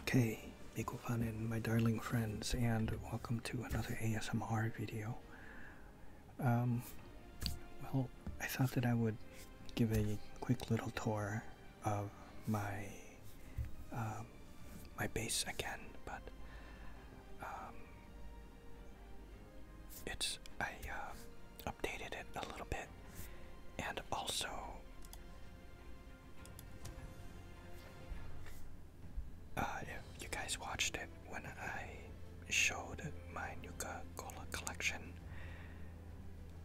Okay, Miko Fun and my darling friends, and welcome to another ASMR video. Um, well, I thought that I would give a quick little tour of my um, my base again, but um, it's I uh, updated it a little bit, and also uh, you guys watched it when I showed my Nuka Cola collection.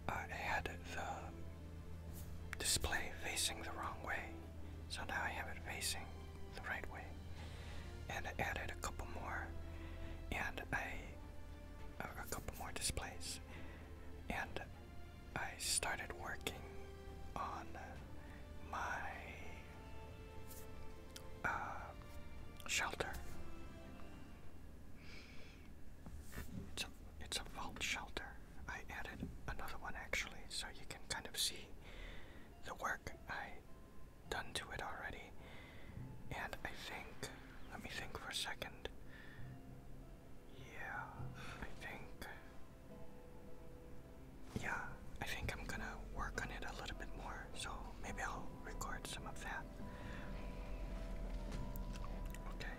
I had the display facing the wrong way, so now I have it facing the right way. And I added a couple more, and I a, couple more displays, and I started working on my uh, shelter. It's a, it's a vault shelter. I added another one actually, so you can kind of see the work I done to it already. And I think, let me think for a second. Yeah, I think. Yeah, I think I'm gonna work on it a little bit more, so maybe I'll record some of that. Okay.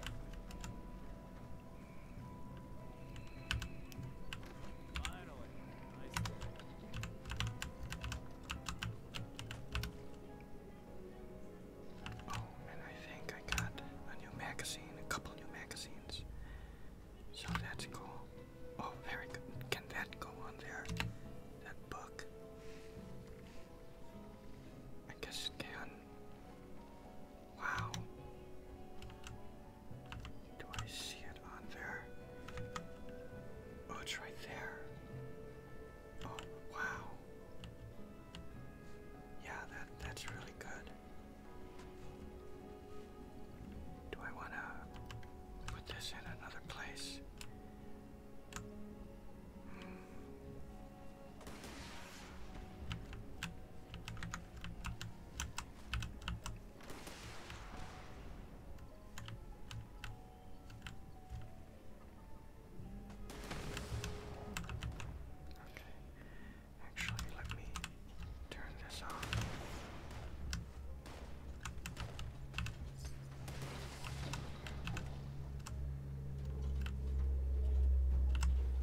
Oh, and I think I got a new magazine, a couple new magazines. So that's cool. Oh, very good. Can that go on there? That book? I guess can. Wow. Do I see it on there? Oh, it's right there. Oh, wow. Yeah, that that's really good. Do I want to put this in another place? Okay. Actually, let me turn this off.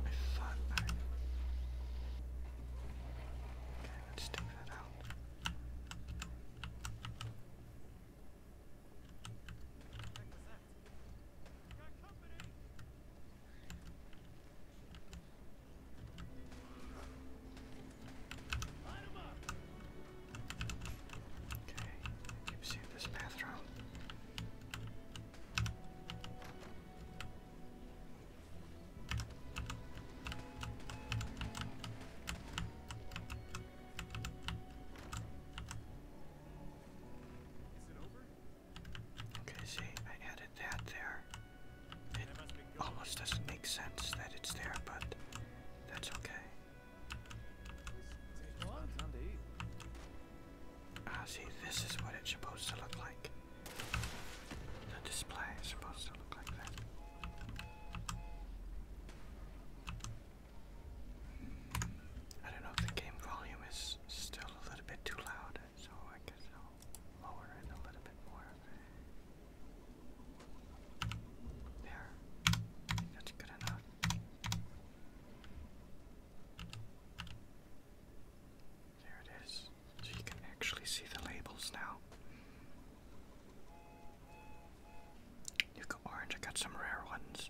I thought Okay, let's take that out. Okay, I keep seeing this bathroom. Is it over? Okay, see, I added that there. It almost doesn't make sense that it's there, but that's okay. Ah, see, this is what it's supposed to look like. The display is supposed to look like that. I don't know if the game volume is still a little bit too loud, so I guess lower it a little bit more. There. that's good enough. There it is. So you can actually see the labels now. You got orange, I got some rare ones.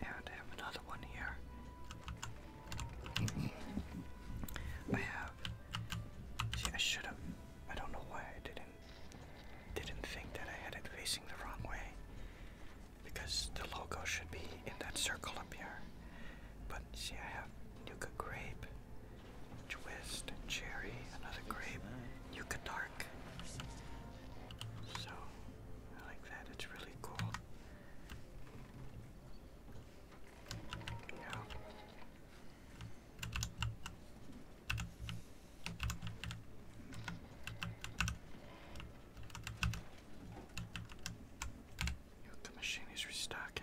And I have another one here. I have. See, I should have. I don't know why I didn't didn't think that I had it facing the wrong way, because the logo should be in that circle up here. But see, I have Nuka Grape, twist, cherry, another grape, Yucatark. So I like that, it's really cool. The machine is restocking.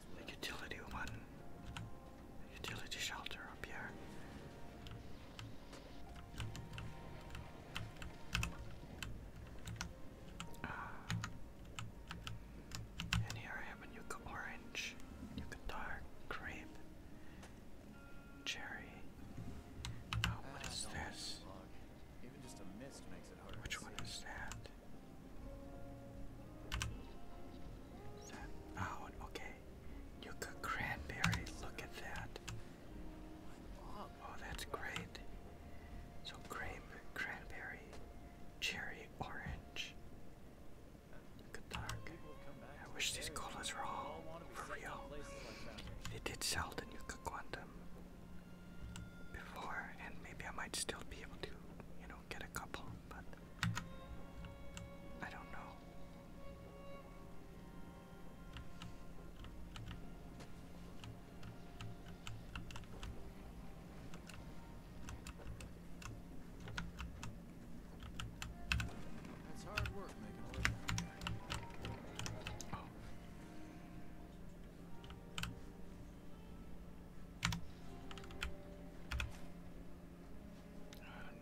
the utility one, utility shelter up here. Uh, and here I have a Nuka Orange, Nuka Dark, Grape, Cherry. Oh, what ah, is this? Which one is that? out? Oh, okay. Yucca cranberry, look at that. Oh, that's great. So grape, cranberry, cherry, orange. Good dark. I wish these colas were all for real. They did sell the Nuka Quantum before, and maybe I might still be able to, you know, get a couple, but I don't know. That's hard work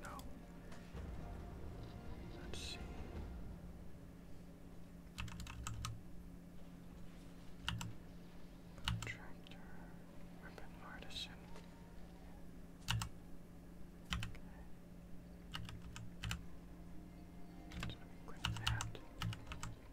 no. Let's see. Contractor, weapon artisan. Okay. So let me quit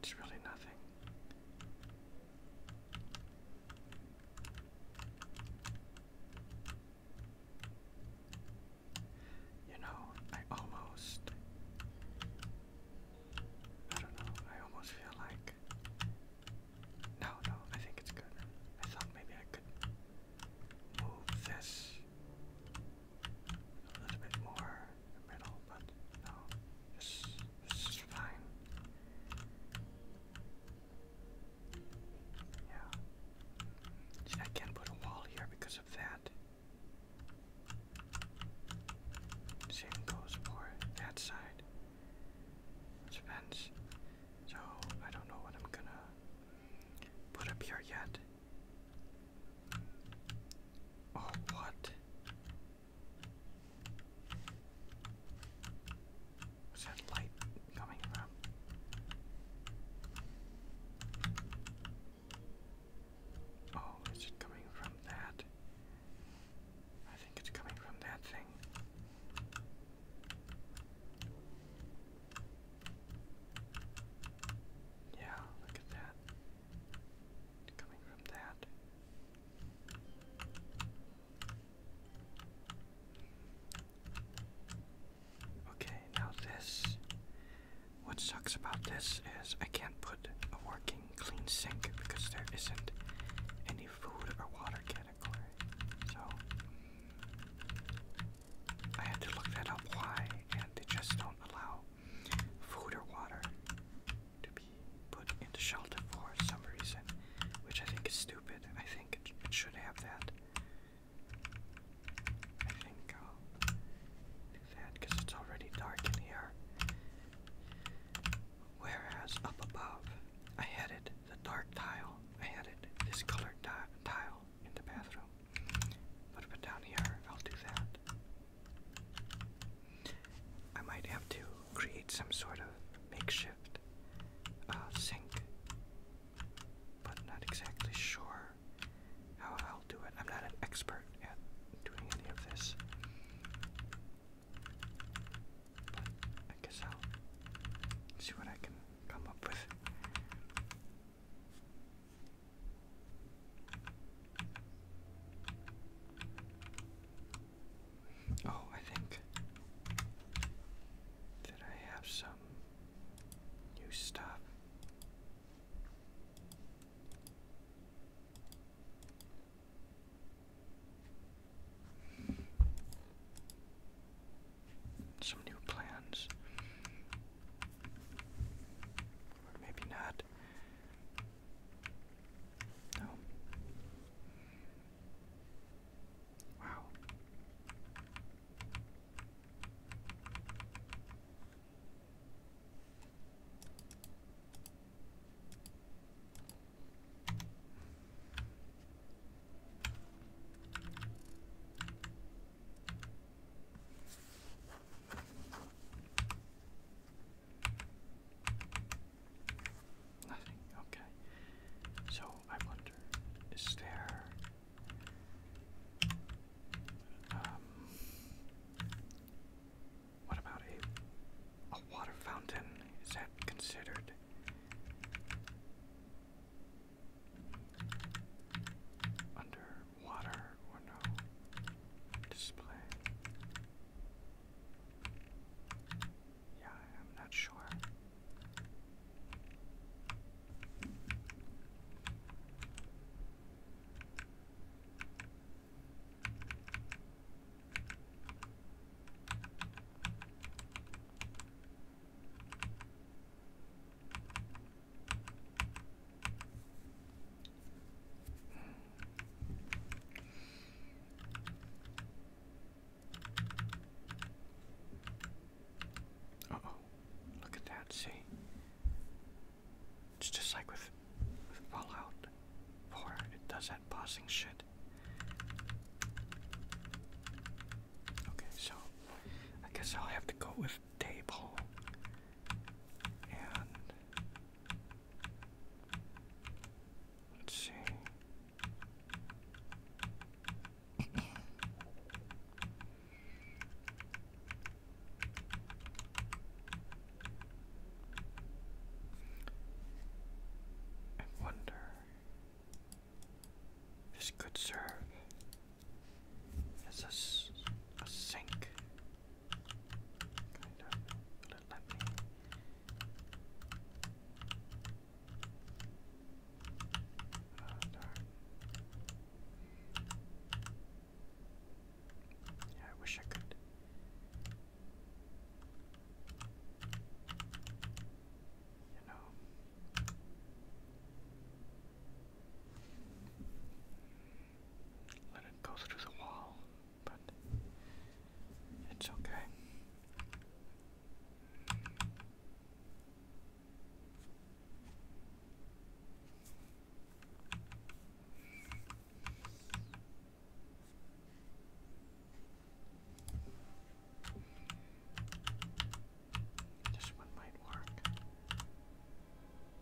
It's really nothing. You know, I almost. I don't know, I almost feel like. No, no, I think it's good. I thought maybe I could move this a little bit more in the middle, but no, this, this is fine. Yeah. See, I can't put a wall here because of that. Same goes for that side. It's a So I don't know what I'm gonna put up here yet. Oh, what? that light coming from? Oh, is coming from that? I think it's coming from that thing. Yeah, look at that. Okay, now this. What sucks about this is I can't put a working clean sink because there isn't any food or water category. So I had to look that up why, and they just don't allow food or water to be put into shelter for some reason, which I think is stupid. I think it, should have that. I think I'll do that because it's already dark in here. Whereas up above, I had it the dark tile. I added this colored tile in the bathroom. But, but down here, I'll do that. I might have to create some sort of makeshift uh, sink, but not exactly sure how I'll do it. I'm not an expert at doing any of this, but I guess I'll see what I can come up with. Oh, I think that I have some new stuff. Some new plans. Or maybe not. No. Oh. Wow. Nothing, okay. So I wonder, is there um what about a a water fountain? Is that considered? Under Water or no? Display. Yeah, I'm not sure. Uh oh, look at that, see? It's just like with, with Fallout 4, it does that pausing shit. Okay, so I guess I'll have to go with table and Let's see. I wonder if this could serve as a, a sink. I wish I could. You know. Let it go through the wall but it's okay. This one might work.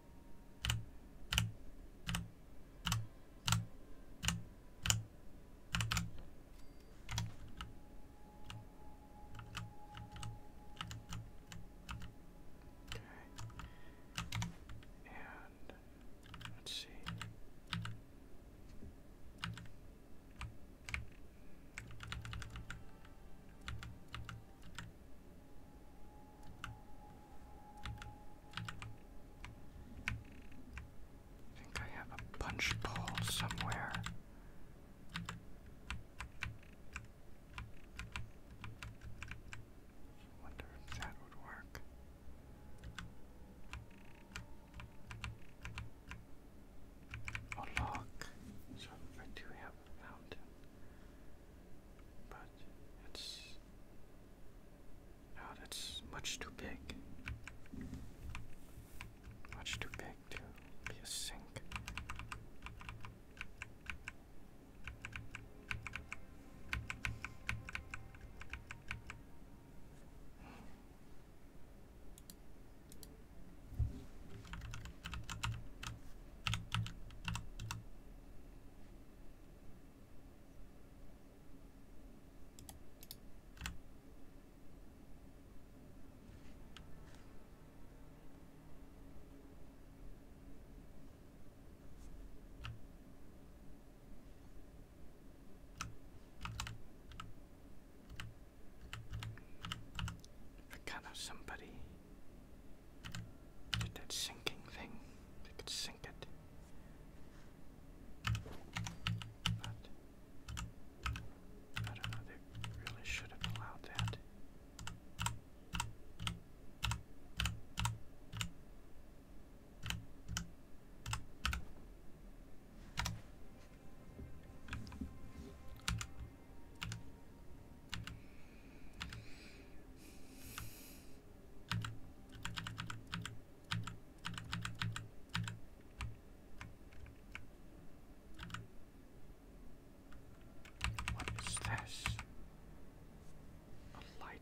Okay. And let's see. I think I have a punch bowl somewhere. Wonder if that would work. Oh look, so I do have a fountain. But it's oh, that's much too big. Much too big to be a sink. If I can have somebody did that sinking thing? They could sink it. I don't know, they really should have allowed that. What is this? A light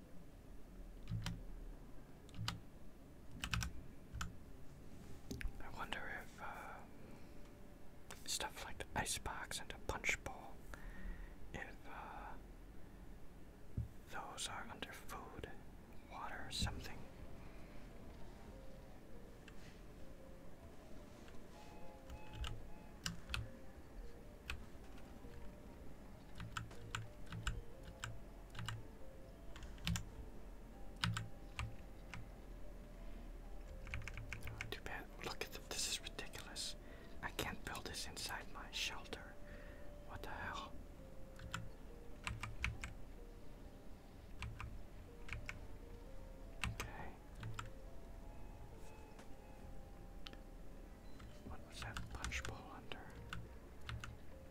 I wonder if uh, stuff like the icebox and the punch bowl, if uh, those are under food, water, or something. Oh, too bad. Look at th this is ridiculous. I can't build this inside my shelter. What the hell? Okay. What was that punch bowl under?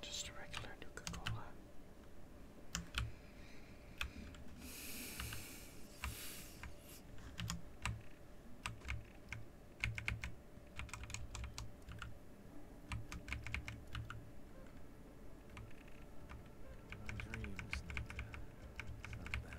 Just a regular Nuka-Cola. Dreams, Nika. Somehow.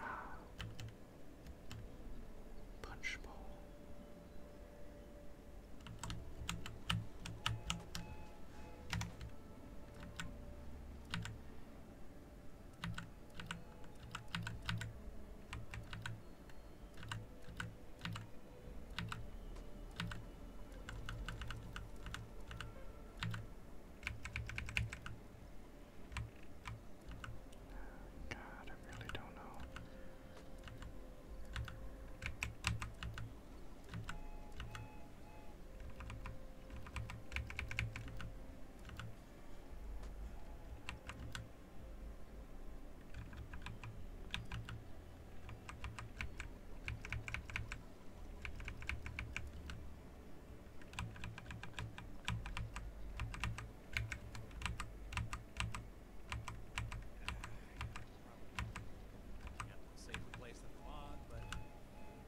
Ah. Punch bowl. God, I really don't know. Yep, safer place than the lawn, but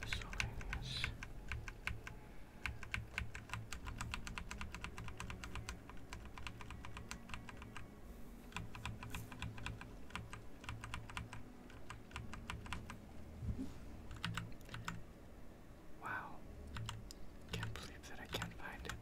Miscellaneous. Wow. Can't believe that I can't find it.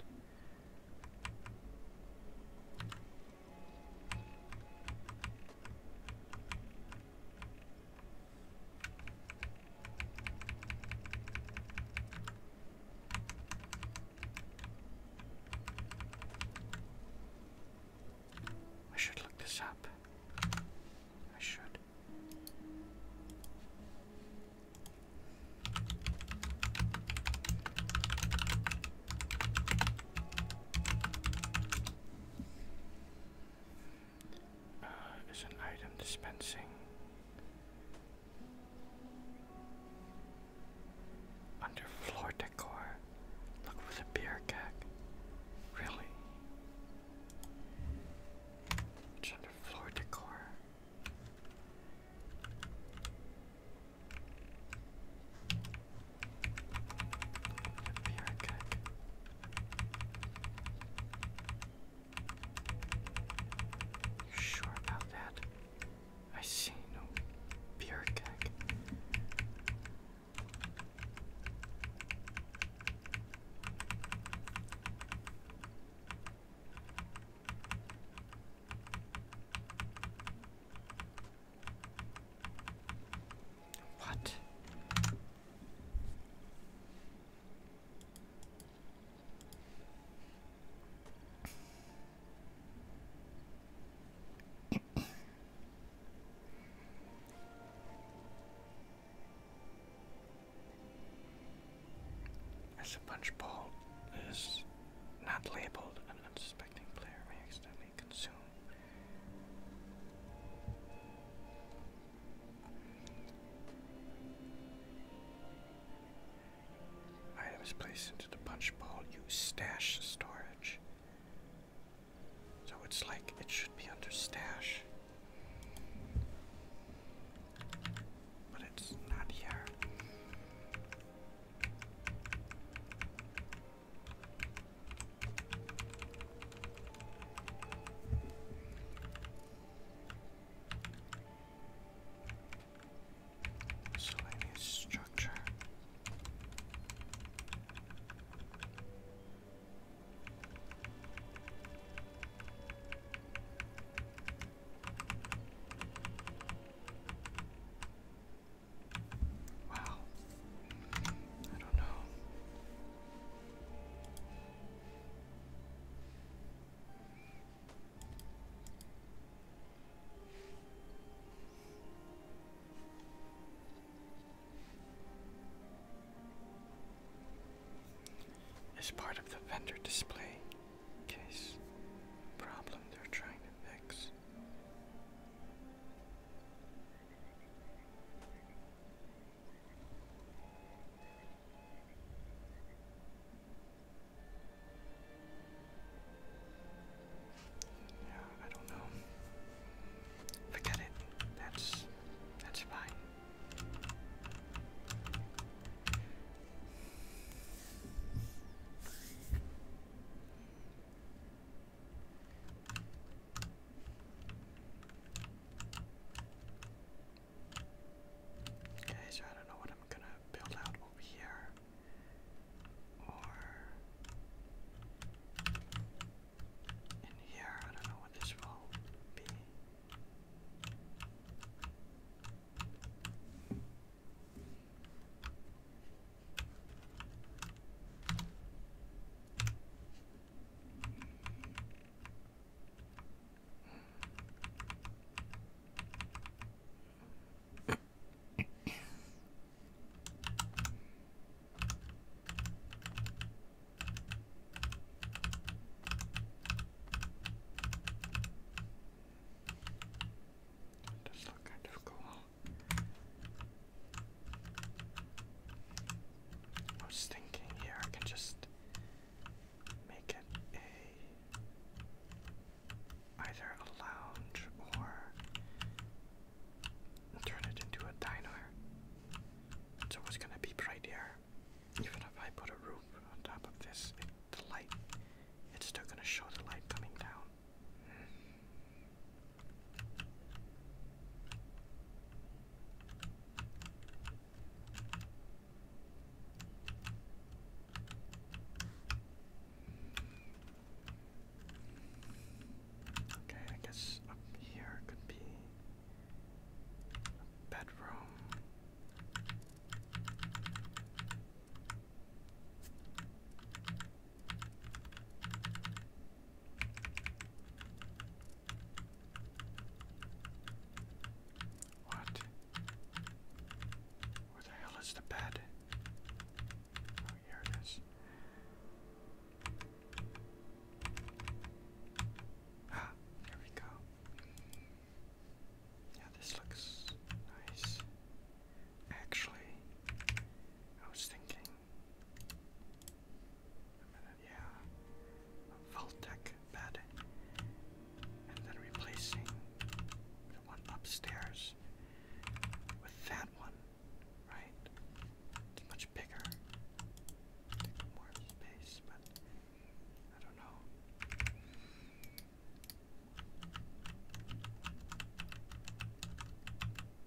I should look this up. I should. Uh, is an item dispensing. Under floor decor. Look for the beer keg. Really? under floor decor. I'll You sure about that? I see no beer keg. What? As a punch ball is not labeled, an unsuspecting player may accidentally and consume. Items placed into the punch bowl use stash storage. So it's like it should be under stash. But it's not here. So structure. Wow. I don't know. Is part of the vendor display case problem they're trying to fix. Yeah, I don't know. Forget it. That's that's fine. Okay, so I don't know what I'm gonna build out over here. Or in here, I don't know what this will be. It does kind of cool. I was thinking here I can just make it a either a lounge or turn it into a diner. It's always gonna be bright here. Even if I put a roof on top of this, the light, it's still gonna show the light coming down. Okay, I guess up here could be a bedroom. What? Where the hell is the bed? Oh, here it is. Ah, here we go. Yeah, this looks nice. Actually, I was thinking minute, yeah. Voltec bed. And then replacing the one upstairs with that one, right? It's much bigger. more space, but I don't know.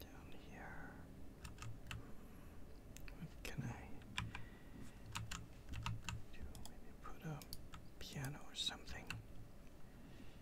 Down here. What can I do? Maybe put a piano or something.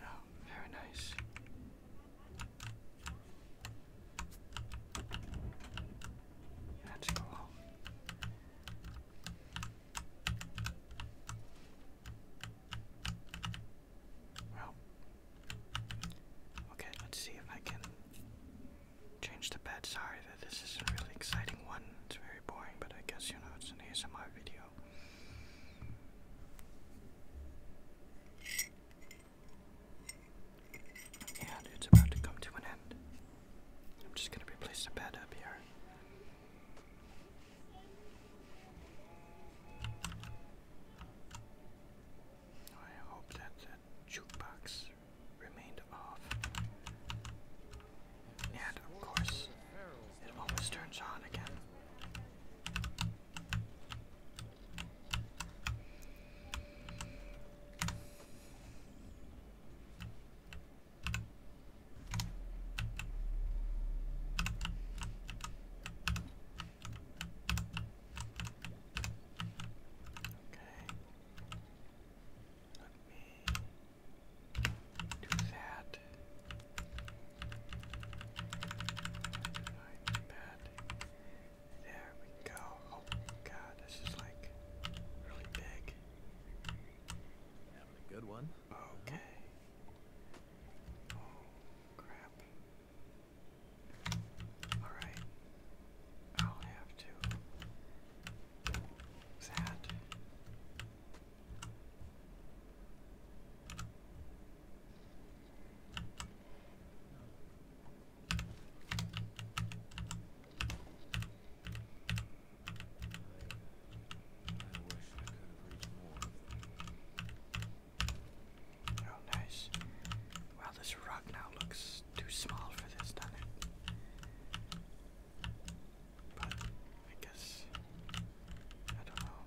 Oh, very nice. Let's Well, okay, let's see if I can change the bed. Sorry that this is not really exciting one. It's very boring, but I guess, you know, it's an ASMR video. And it's about to come to an end. I'm just going to replace the bed up here. I hope that the jukebox remained off. And of course, it always turns on again. Let me do that. Right, bad. There we go. Oh god, this is like really big. Having a good one. Okay. Oh, crap. Alright. I'll have to. Sad. Oh, nice. Wow, this rock now looks too small for this, But I guess I don't know.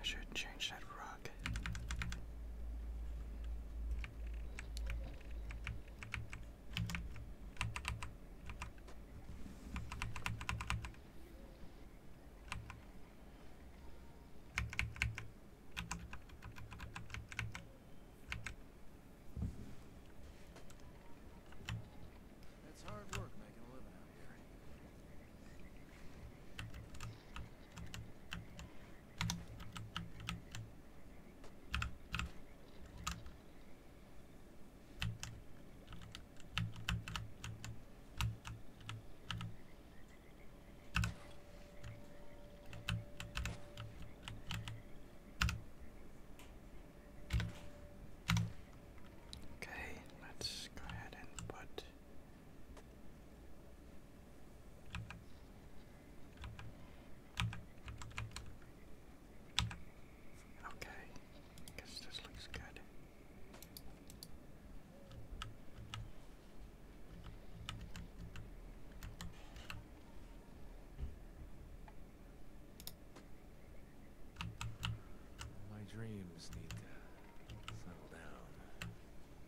I should change that rock. It's hard work making a living out here. Okay, let's go ahead and put Okay, I guess this looks good. My dreams need to settle down.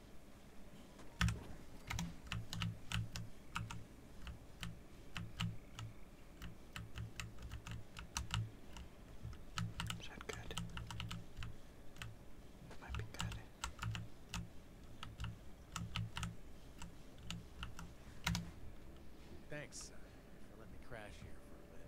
Is good? That might be good. Thanks uh, for me crash here for a bit.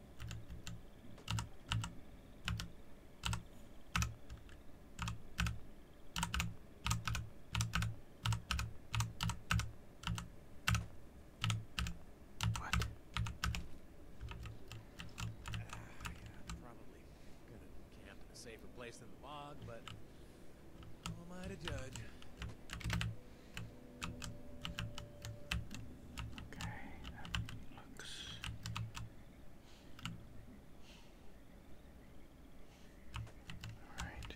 What? Uh, probably gonna camp in a safer place than the bog, but who am I to judge? Okay, that looks. All right.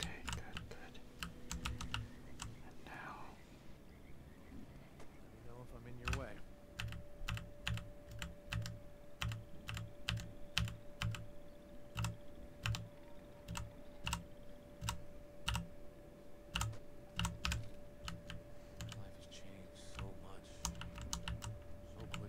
Okay, good, good. And now. know if I'm in your way. Life has changed so much, so quickly.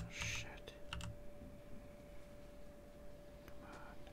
Oh shit. Come on.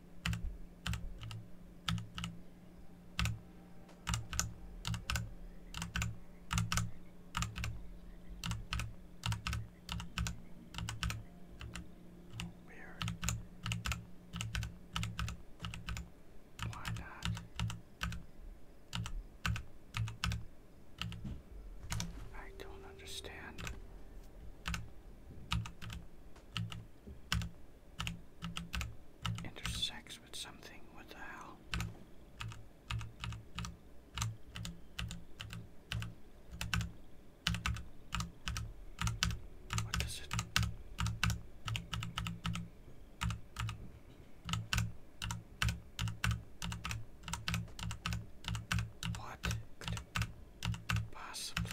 Weird. Why not? I don't understand intersects with something. What the hell? What does it? What could it possibly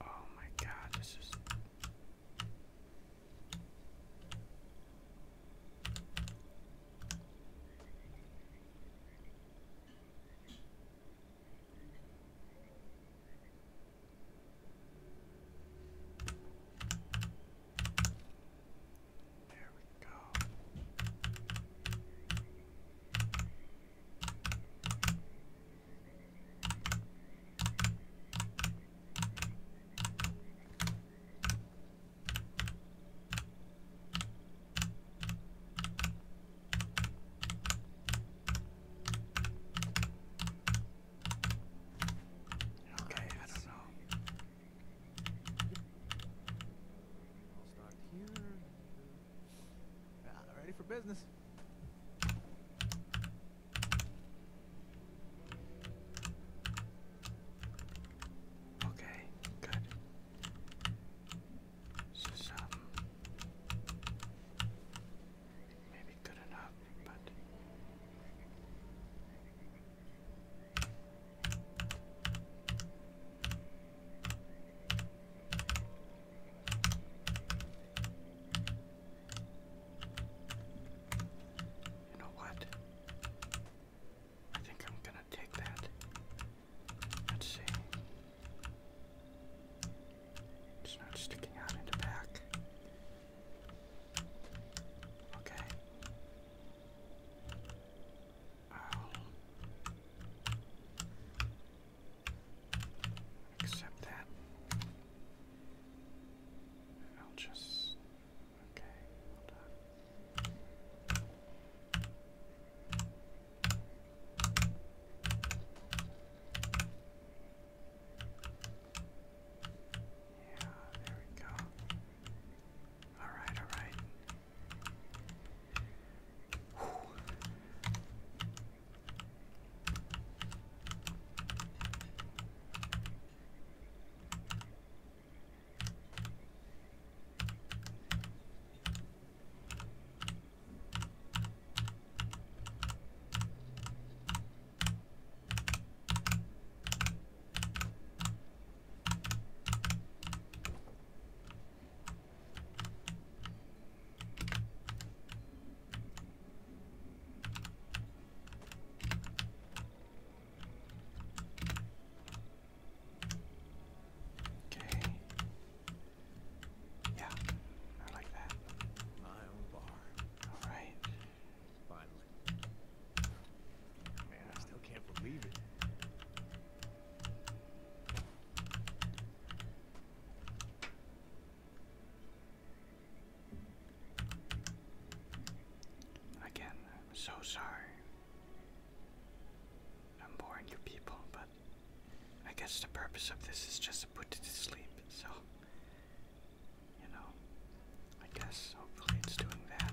Oh my god, this is there we go. Okay, I don't know. I'll here. Ah, ready for business. Okay, good. This is um, maybe good enough, but you know what? I think I'm gonna take that. Let's see. It's not sticking out in the back. Okay. I'll accept that. I'll just okay, Yeah, there we go. Alright, alright. Okay. Yeah, I like that. My own bar. All right. Man, I still can't believe it. Again, I'm so sorry. I'm boring you people, but I guess the purpose of this is just to put you to sleep, so you know, I guess hopefully it's doing that.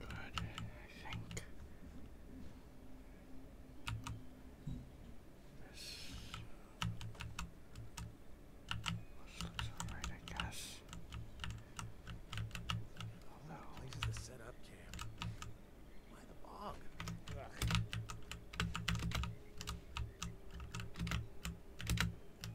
But I think this this looks alright, I guess. Although, at least the setup cam. Why the bog?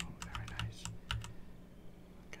Oh, very nice. Okay.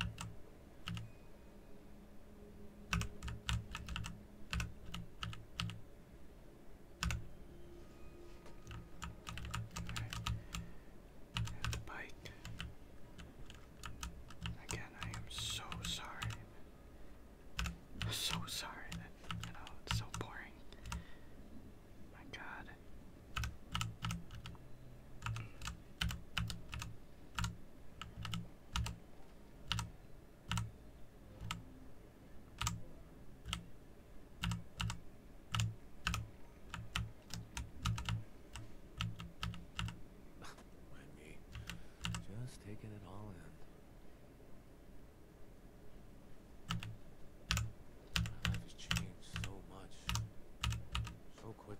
And the bike. Again, I am so sorry. So sorry you know it's so boring. My God. Just taking it all in. My life has changed so much, so quickly.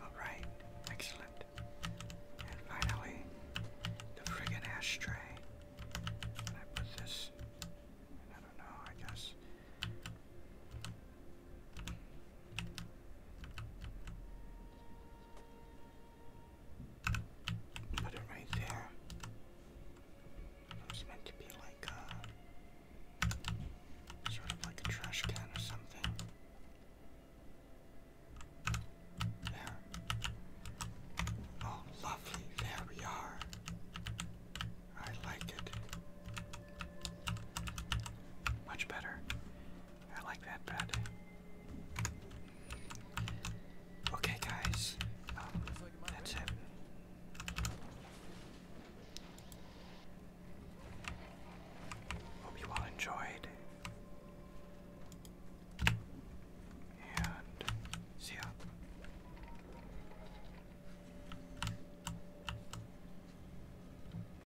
All right. Excellent. And finally, the friggin' ashtray. Can I put this? I don't know. I guess. Put it right there. It's meant to be like a sort of like a trash can or something. There. Oh, lovely. There we are. I like it. Much better. I like that Okay, guys, um, that's it. Hope you all enjoyed. And see ya.